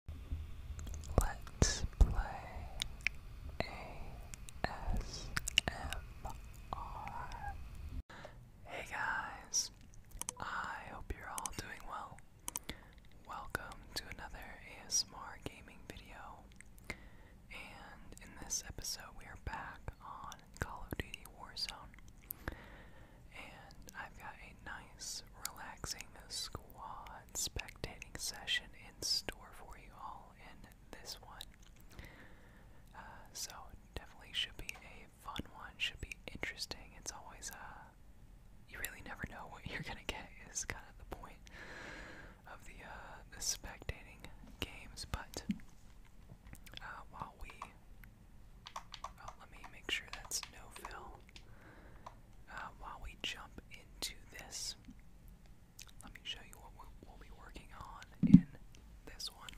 Hey guys, I hope you're all doing well. Welcome to another ASMR gaming video. And in this episode, we are back on Call of Duty Warzone. And I've got a nice Relaxing the squad spectating session in store for you all in this one. Uh, so, definitely should be a fun one, should be interesting. It's always, uh, you really never know what you're gonna get, is kind of the point of the, uh, the spectating games. But, uh, while we, oh, let me make sure that's no fill. Um, while we jump into this, let me show you what we'll be working on in this one.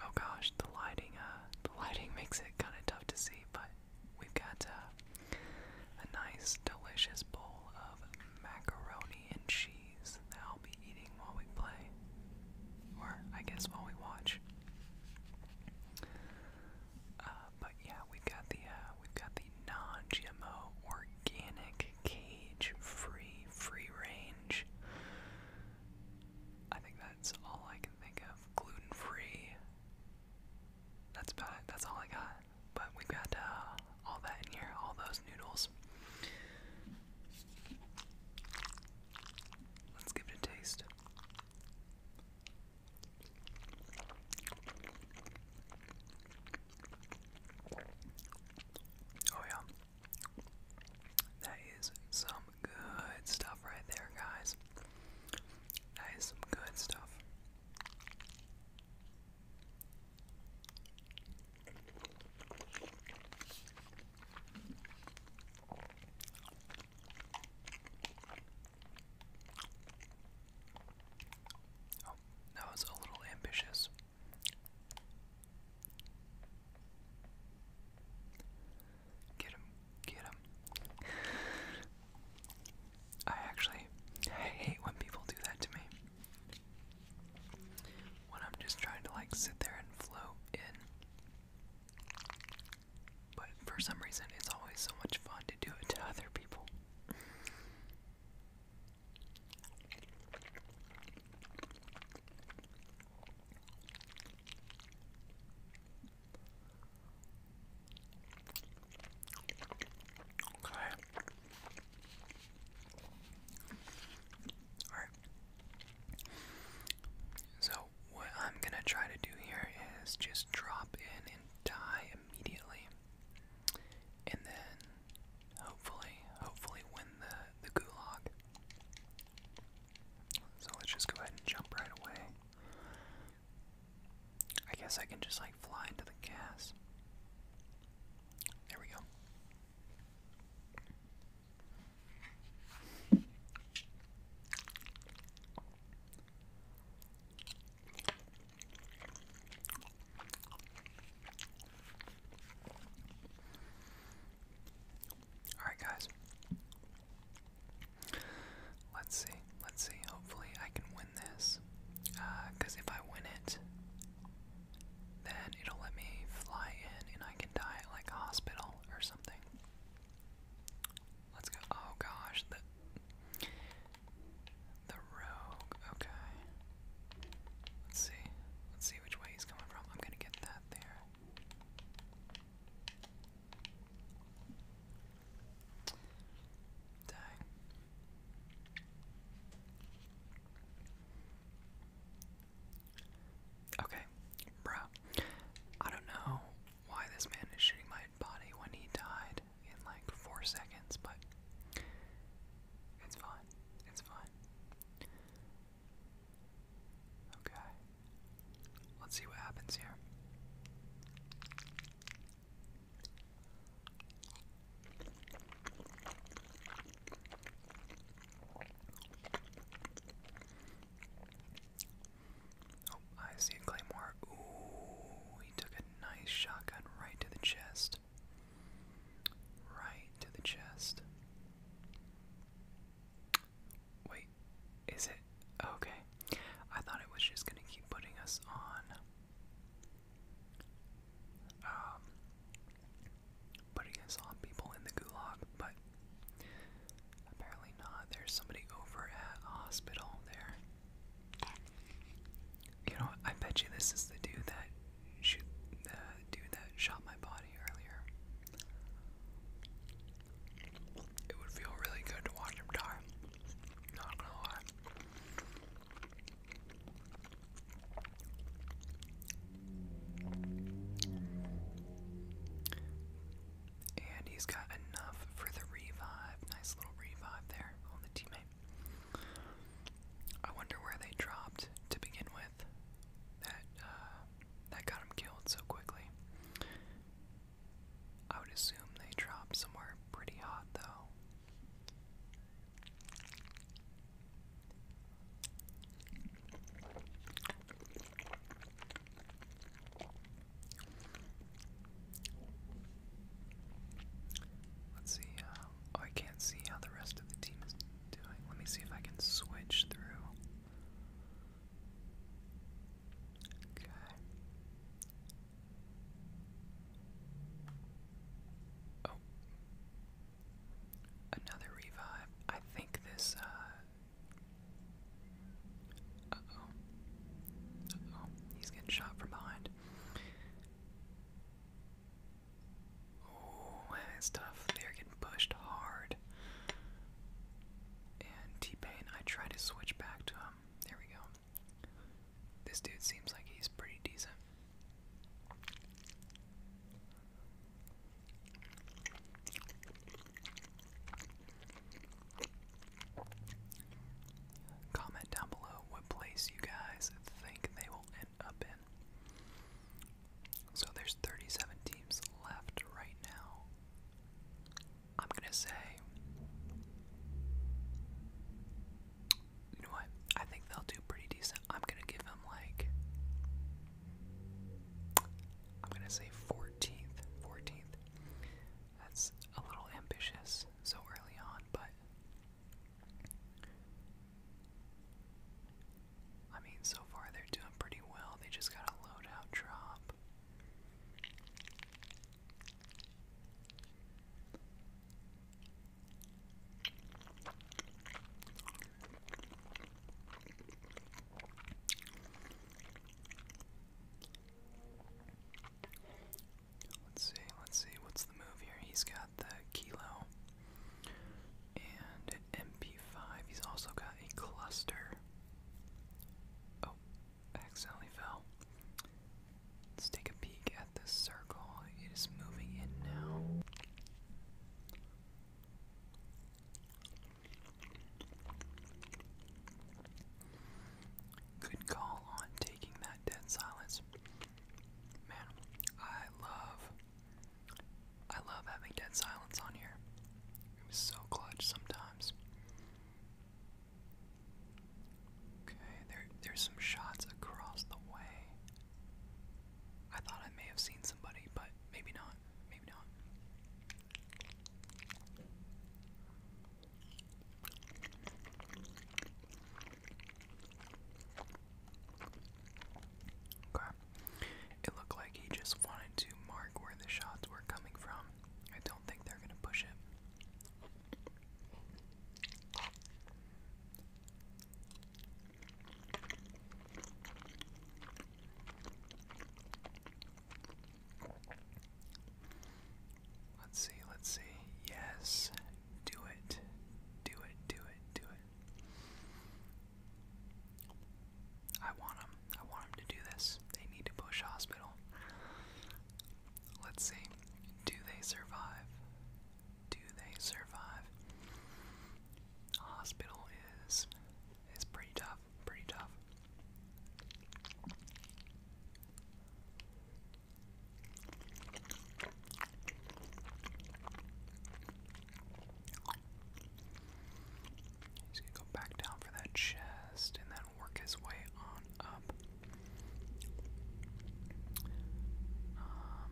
Oh gosh, the lighting, uh, the lighting makes it kind of tough to see, but we've got uh, a nice, delicious bowl of macaroni and cheese that I'll be eating while we play, or I guess while we watch. Uh, but yeah, we've got the uh, we've got the non-GMO, organic, cage-free, free-range. I think that's all I can think of. Gluten-free. That's about it. That's all I got. But we've got uh, all that in here. All those noodles. Let's give it a taste. Oh, yeah. That is some good stuff right there, guys. That is some good stuff. Oh, that was a little ambitious. Get him, get him. I actually I hate when people do that to me. When I'm just trying to like sit there and float in. But for some reason, it's always so much fun to do it to other people. Okay. Alright. So, what I'm going to try to do here is just drop in die immediately, and then hopefully, hopefully win the the gulag. So let's just go ahead and jump right away. I guess I can just like fly into the gas. There we go. Alright, guys. Let's see. Let's see. Hopefully, I can win this. Because uh, if I win it, then it'll let me fly in and I can die at like a hospital or something. Let's go. Oh gosh, the rogue, okay. Let's see. Let's see which way he's coming from. I'm gonna get that there. Dang. Okay, bro. I don't know why this man is shooting my body when he died in like four seconds, but it's fine. It's fine. Okay. Let's see what happens here. Oh, I see a claymore. Ooh, he took a nice shotgun right to the chest. Right to the chest. Wait, is it? Okay. I thought it was just gonna keep putting us on. Um, putting us on people in the gulag, but apparently not. There's somebody over at hospital there. You know, I bet you this is the dude that shoot the dude that shot my body earlier. It would feel really good to watch him die. Not gonna lie. And he's got enough for the revive. Nice little revive there on the teammate. I wonder where they dropped to begin with. That uh, that got him killed so quickly. I would assume they dropped somewhere pretty hot though. Let's see. Uh, oh, I can't see how the rest of the team is doing. Let me see if I can switch through. Okay. Oh. Another revive. I think this uh, oh. oh. He's getting shot from behind. Oh, that's tough. They're getting pushed hard. And T Pain, I try to switch back to him. There we go. This dude seems like he's pretty decent. Comment down below what place you guys think they will end up in. So there's 37 teams left right now. I'm gonna say, you know what? I think they'll do pretty decent. I'm gonna give them like, I'm gonna say 14th, 14th. That's a little ambitious so early on, but I mean, so far they're doing pretty well. They just got a loadout drop. Let's see, let's see, what's the move here? He's got the Kilo and MP5. He's also got a cluster. Oh, accidentally fell. Let's take a peek at this circle. It is moving in now. Good call on taking that dead silence. Man, I love I love having dead silence on here. It was so clutch sometimes. Okay, there there's some shots across the way. I thought I may have seen somebody, but maybe not. Maybe not. It looked like he just wanted to mark where the shots were coming from. I don't think they're gonna push it. Let's see, let's see. Yes, do it. Do it, do it, do it. I want them. I want them to do this. They need to push hospital. Let's see. Do they survive? Do they survive? Hospital is is pretty tough, pretty tough. He's gonna go back down for that chest and then work his way on up. Um,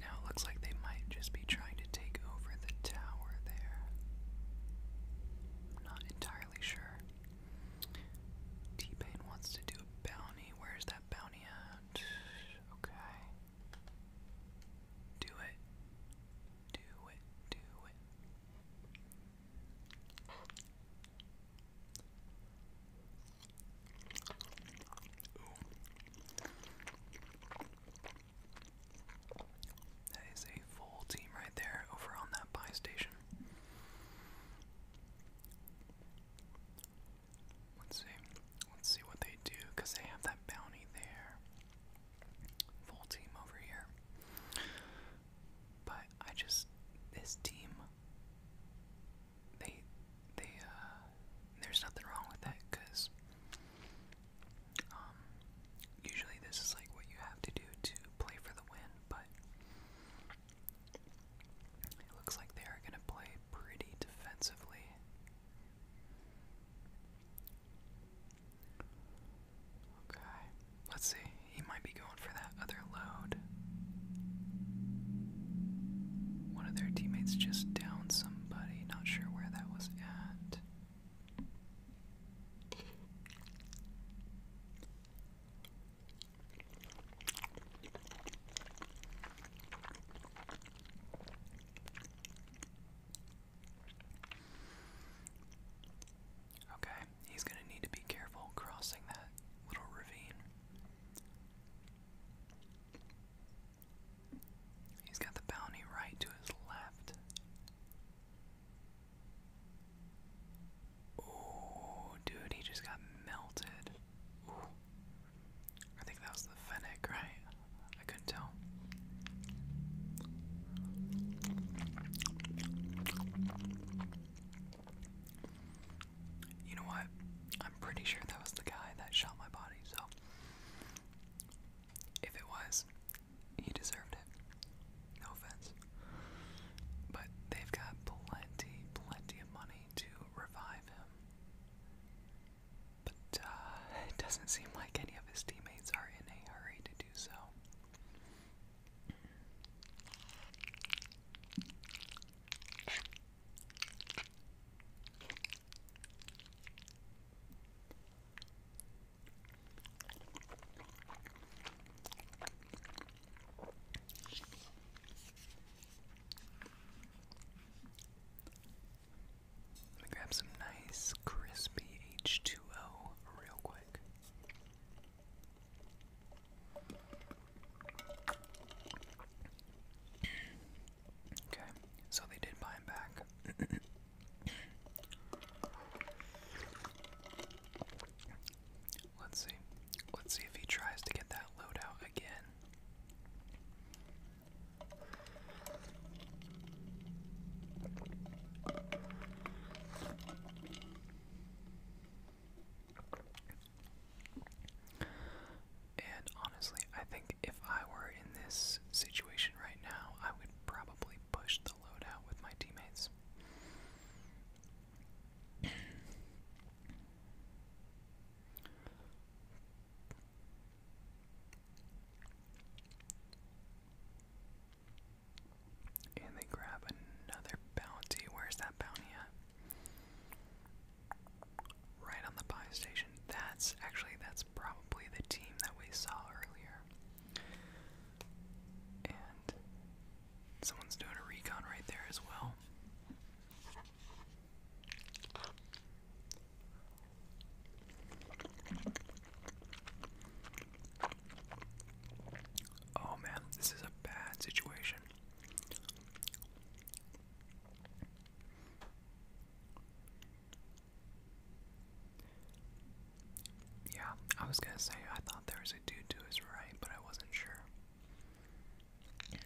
now it looks like they might just be trying to take over the tower there. I'm not entirely sure. T-Pain wants to do a bounty. Where's that bounty at? Okay. Do it. Do it. Do it. That is a full team right there over on that buy station. Let's see. Let's see what they do, because they have that bounty there. Full team over here. But I just this team they they uh there's nothing wrong with that because um, usually this is like what you have to do to play for the win, but it looks like they are going to play pretty defensively. Okay, let's see. He might be going for that other load. One of their teammates just downed somebody. Not sure where that was at. Okay, he's going to need to be careful crossing that little ravine. He's got the bounty right to his left. Oh, dude, he just got melted. I think that was the fennec, right? I couldn't tell. You know what? I'm pretty sure that was the guy that shot my body, so if it was, he deserved it. No offense. But they've got plenty, plenty of money to revive him. But uh, it doesn't seem like any of his teammates are in a hurry to do so. Let me grab some nice crispy H2O real quick. Okay, so they did buy him back. Let's see. Let's see if he tries to get that loadout again. And honestly, I think if I were in this situation right now, I would probably push the loadout with my teammates. And they grab another bounty. Where's that bounty at? Right on the buy station. That's actually that's probably the team that we saw earlier. And someone's doing a recon right there as well. Oh man, this is a bad situation. Yeah, I was gonna say, I thought there was there's to his right, but I wasn't sure. Mm.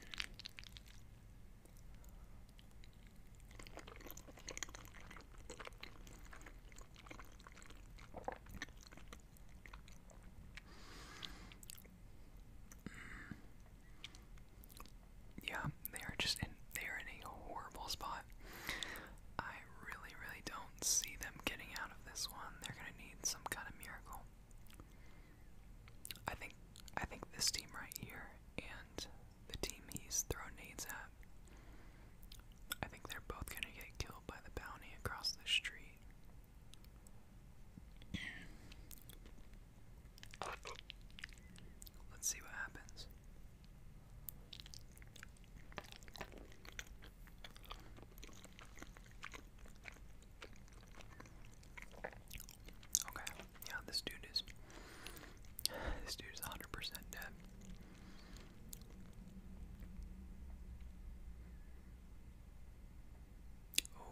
Yeah, they are just in they are in a horrible spot. I really, really don't see them getting out of this one. They're gonna need some kind of miracle. I think I think this team right here and the team he's thrown nades at, I think they're both gonna get killed by the bounty across the street. Let's see what happens. Okay, yeah, this dude is this dude is 100% dead. Oh,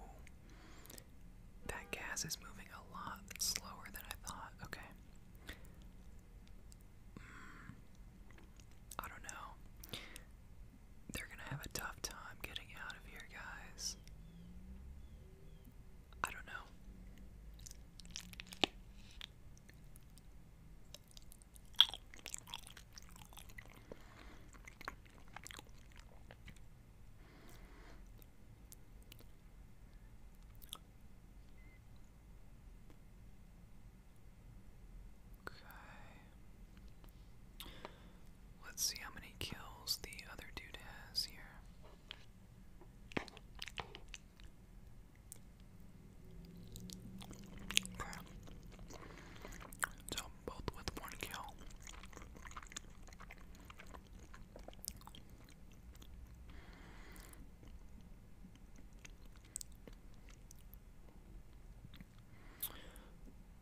that gas is moving a lot slower than I thought. Okay. Hmm, I don't know. They're gonna have a tough time getting out of here, guys. I don't know. Okay. Let's see how many kills the other dude has here. So both with one kill.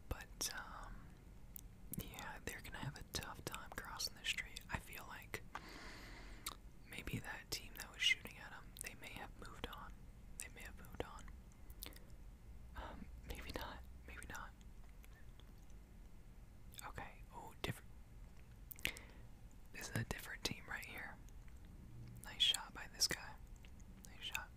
But um, yeah, they're gonna have a tough time crossing the street. I feel like maybe that team that was shooting at them, they may have moved on. They may have moved on. Um, maybe not. Maybe not. Okay. Oh, different. This is a different team right here. Nice shot by this guy. Nice shot.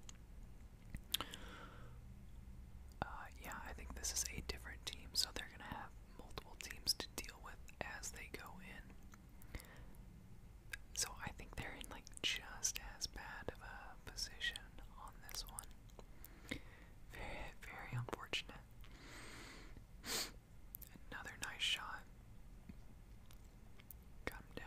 Uh, yeah, I think this is a different team, so they're going to have multiple teams to deal with as they go in. So I think they're in like just as bad of a position on this one. Very, very unfortunate. Another nice shot. Come down.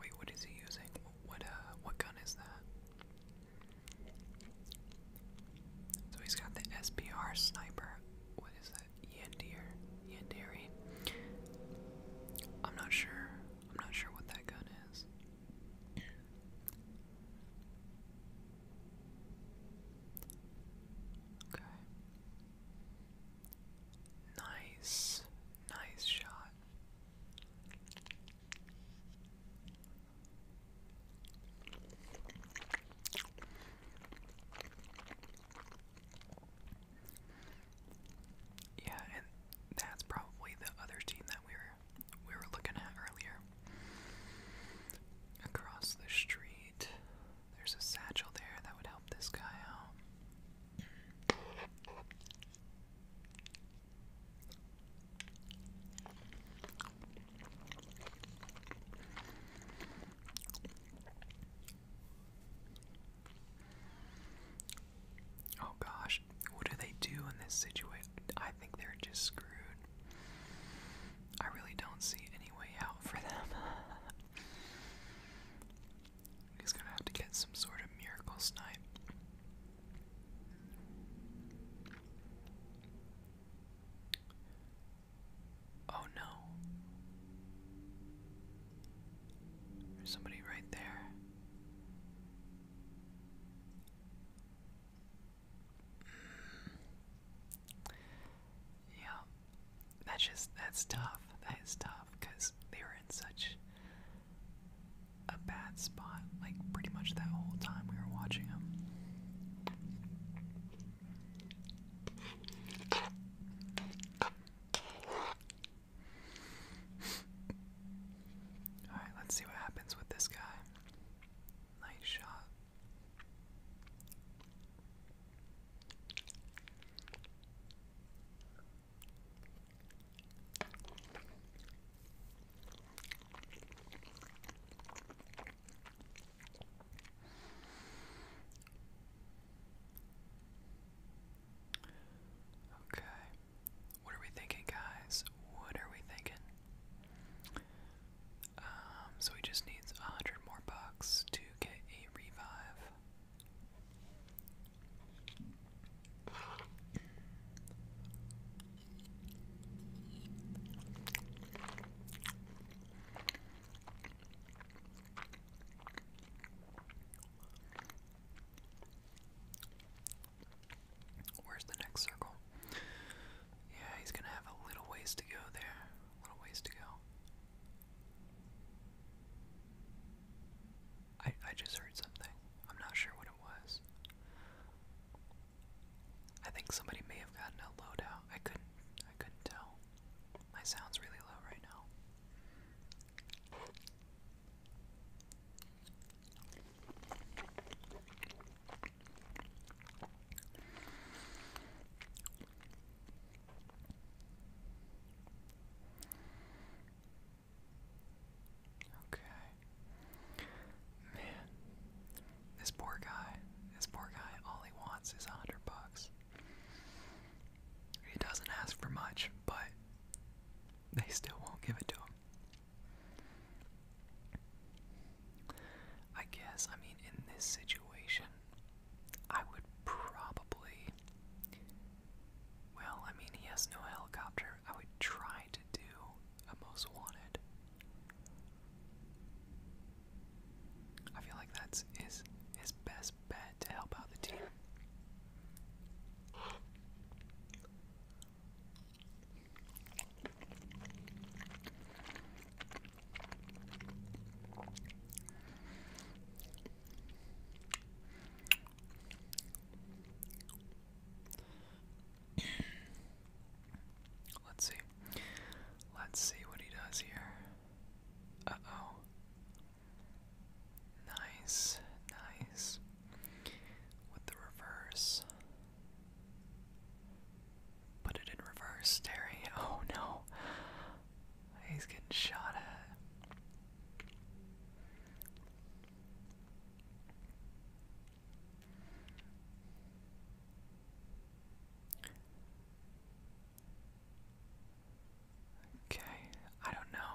Wait, what is he using? What, uh what gun is that? So he's got the SBR sniper. What is that? Yandir, Yandere. I'm not sure. I'm not sure what that gun is. Okay. Nice, nice shot. Yeah, and that's probably the other team that we were we were looking at earlier. Across the street, there's a satchel there that would help this guy out. Oh gosh, what do they do in this situation? I think they're just screwed. I really don't see any way out for them. He's gonna have to get some sort of miracle snipe. Oh no. There's somebody right there. Yeah. That's just, that's tough. That is tough because they were in such a bad spot, like pretty much that whole time we were watching them. Alright, let's see what happens with this guy. Nice shot. Okay. What are we thinking, guys? What are we thinking? Um, so he just needs a hundred more bucks to get a revive. Where's the next circle? Yeah, he's gonna have a little ways to go there. A little ways to go. I I just heard something. I'm not sure what it was. I think somebody may have gotten a loadout. I couldn't I couldn't tell. My sound's really low right now. Okay. Man, this poor guy, this poor guy, all he wants is a hundred bucks. He doesn't ask for much, but they still won't give it to him. I guess, I mean, in this situation, I would probably. Well, I mean, he has no helicopter. I would try to do a most wanted. I feel like that's his, his best bad to help out the team. Let's see. Let's see what he does here. Uh oh. Nice, nice. With the reverse. Put it in reverse, Terry. Oh no. He's getting shot at. Okay, I don't know.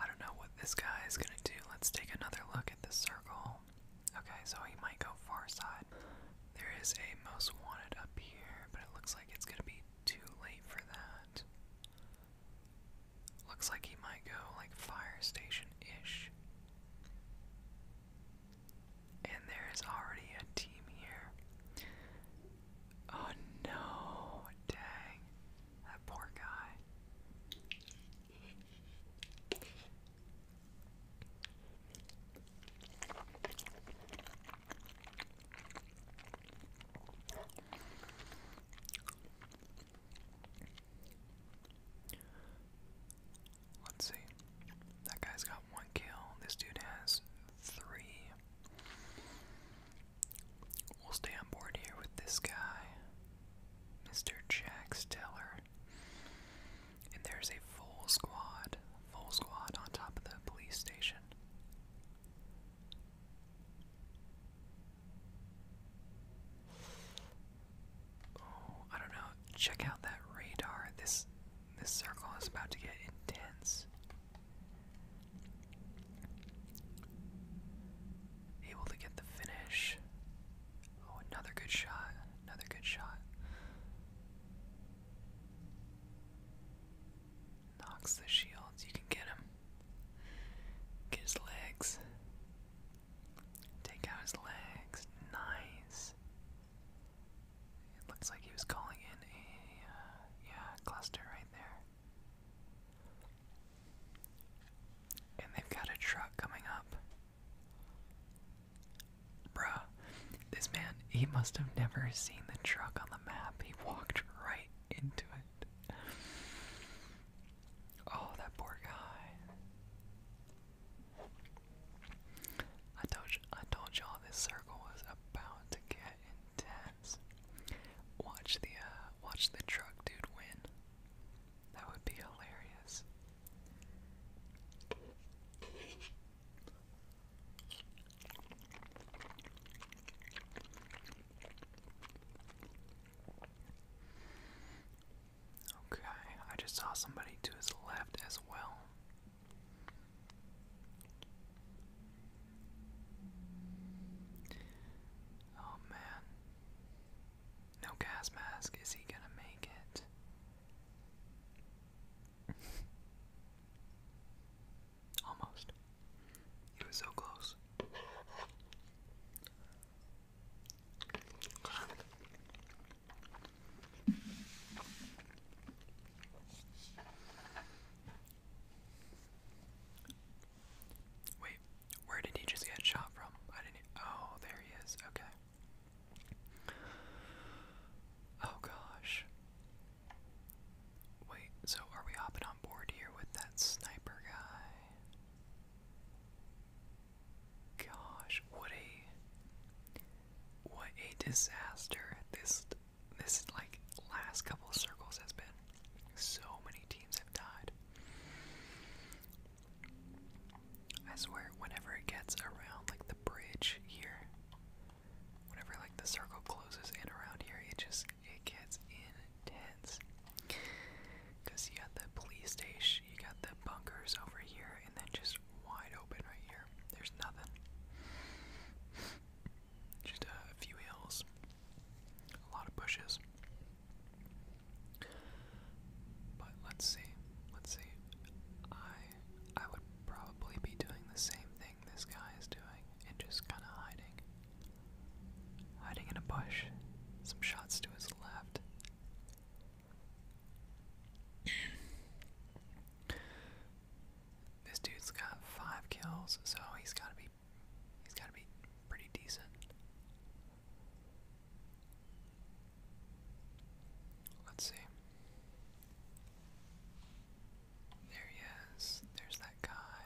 I don't know what this guy is gonna do. Let's take another look at the circle. Okay, so he might go far side. There is a most wanted up here, but it looks like it's gonna be too late for that. Looks like he might go like fire station ish. And there is already a team here. Oh no, dang. That poor guy. Let's see. That guy's got one kill. This dude has three. We'll stay on board here with this guy, Mr. Jax Steller, And there's a full squad, full squad on top of the police station. Oh, I don't know. Check out that radar. This this circle is about to get intense. Able to get the finish. Oh, another good shot. Another good shot. Knocks the shields. You can get him. Get his legs. Take out his legs. Nice. It looks like he was calling in a uh, yeah cluster right there. And they've got a truck coming up. Bruh, this man, he must have never seen the truck on the map. He walked right into it. Oh, that poor guy. I told you, I told y'all this circle was about to get intense. Watch the uh, watch the truck dude win. That would be hilarious. Okay, I just saw somebody to his left as well. Oh man. No gas mask. Is he gonna make it? Almost. He was so close. Wait, where did he just get shot from? I didn't. Oh, there he is. Okay. Oh gosh. Wait, so are we hopping on board here with that sniper guy? Gosh, what a. What a disaster this this like last couple of circles has been so many teams have died. I swear, whenever it gets around like the bridge here, whenever like the circle closes in around here, it just it gets intense. Cause you got the police station, you got the bunkers over here, and then just wide open right here. There's nothing. Just a few hills, a lot of bushes. But let's see, let's see. I I would probably be doing the same thing this guy is doing and just kind of hiding. Hiding in a bush. Some shots to his left. This dude's got five kills, so he's gotta be he's gotta be pretty decent. Let's see. There he is. There's that guy.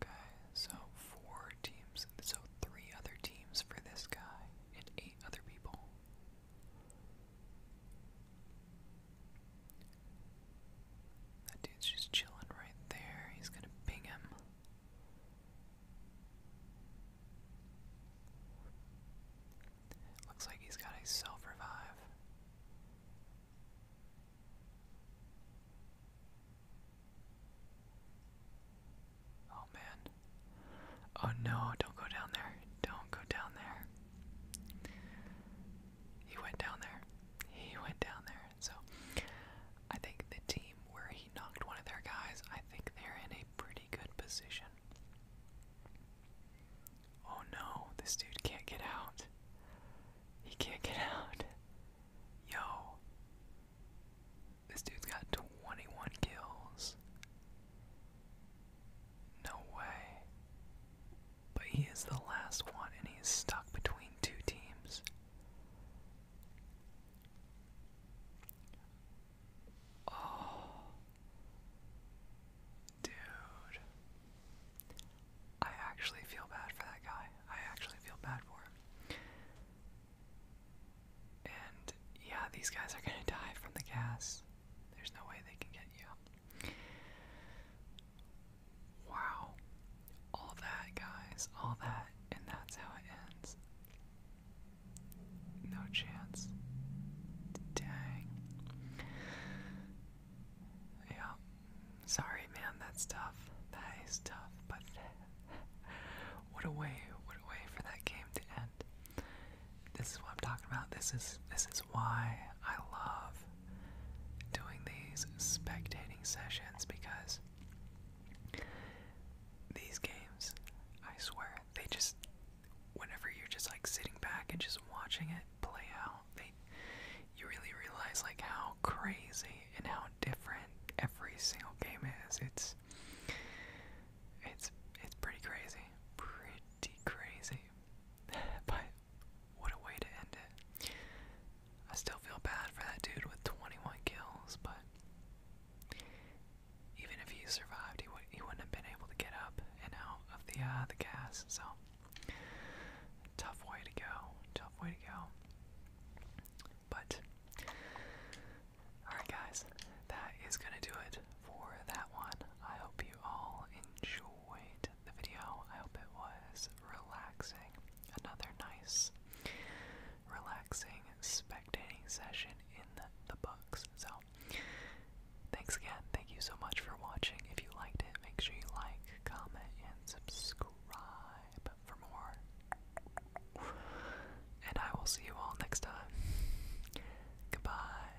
Okay, so four teams, so three other teams for this guy and eight other people. That dude's just chilling right there. He's gonna ping him. Looks like he's got a self revive. Oh man. Oh no, don't go down there. Don't go down there. He went down there. He went down there. And so I think the team where he knocked one of their guys, I think they're in a pretty good position. Oh no, this dude can't get out. He can't get out. Yo. This dude's got 21 kills. No way. But he is the last one, and he's stuck between two teams. Oh. Dude. I actually feel bad for that guy. I actually feel bad for him. And yeah, these guys are gonna die from the gas. There's no way they can get you. Wow. All that, guys. All that. And that's how it ends. No chance. Dang. Yeah. Sorry, man. That's tough. That is tough. But what a way. What a way for that game to end. This is what I'm talking about. This is this is why I love doing these spectating sessions because these games, I swear, they just whenever you're just like sitting back and just watching it play out, they you really realize like how crazy and how different every single game is. It's it's it's pretty crazy. Pretty crazy. but what a way to end it. I still feel bad for that dude with 21 kills, but even if he survived, he, would, he wouldn't have been able to get up and out of the, uh, the gas, so tough way to go, tough way to go. But, alright guys, that is going to do it for that one. I hope you all enjoyed the video. I hope it was relaxing. Another nice, relaxing spectating session in the books. So, thanks again. Thank you so much for watching. If you liked it, make sure you like, comment, and subscribe for more. And I will see you all next time. Goodbye.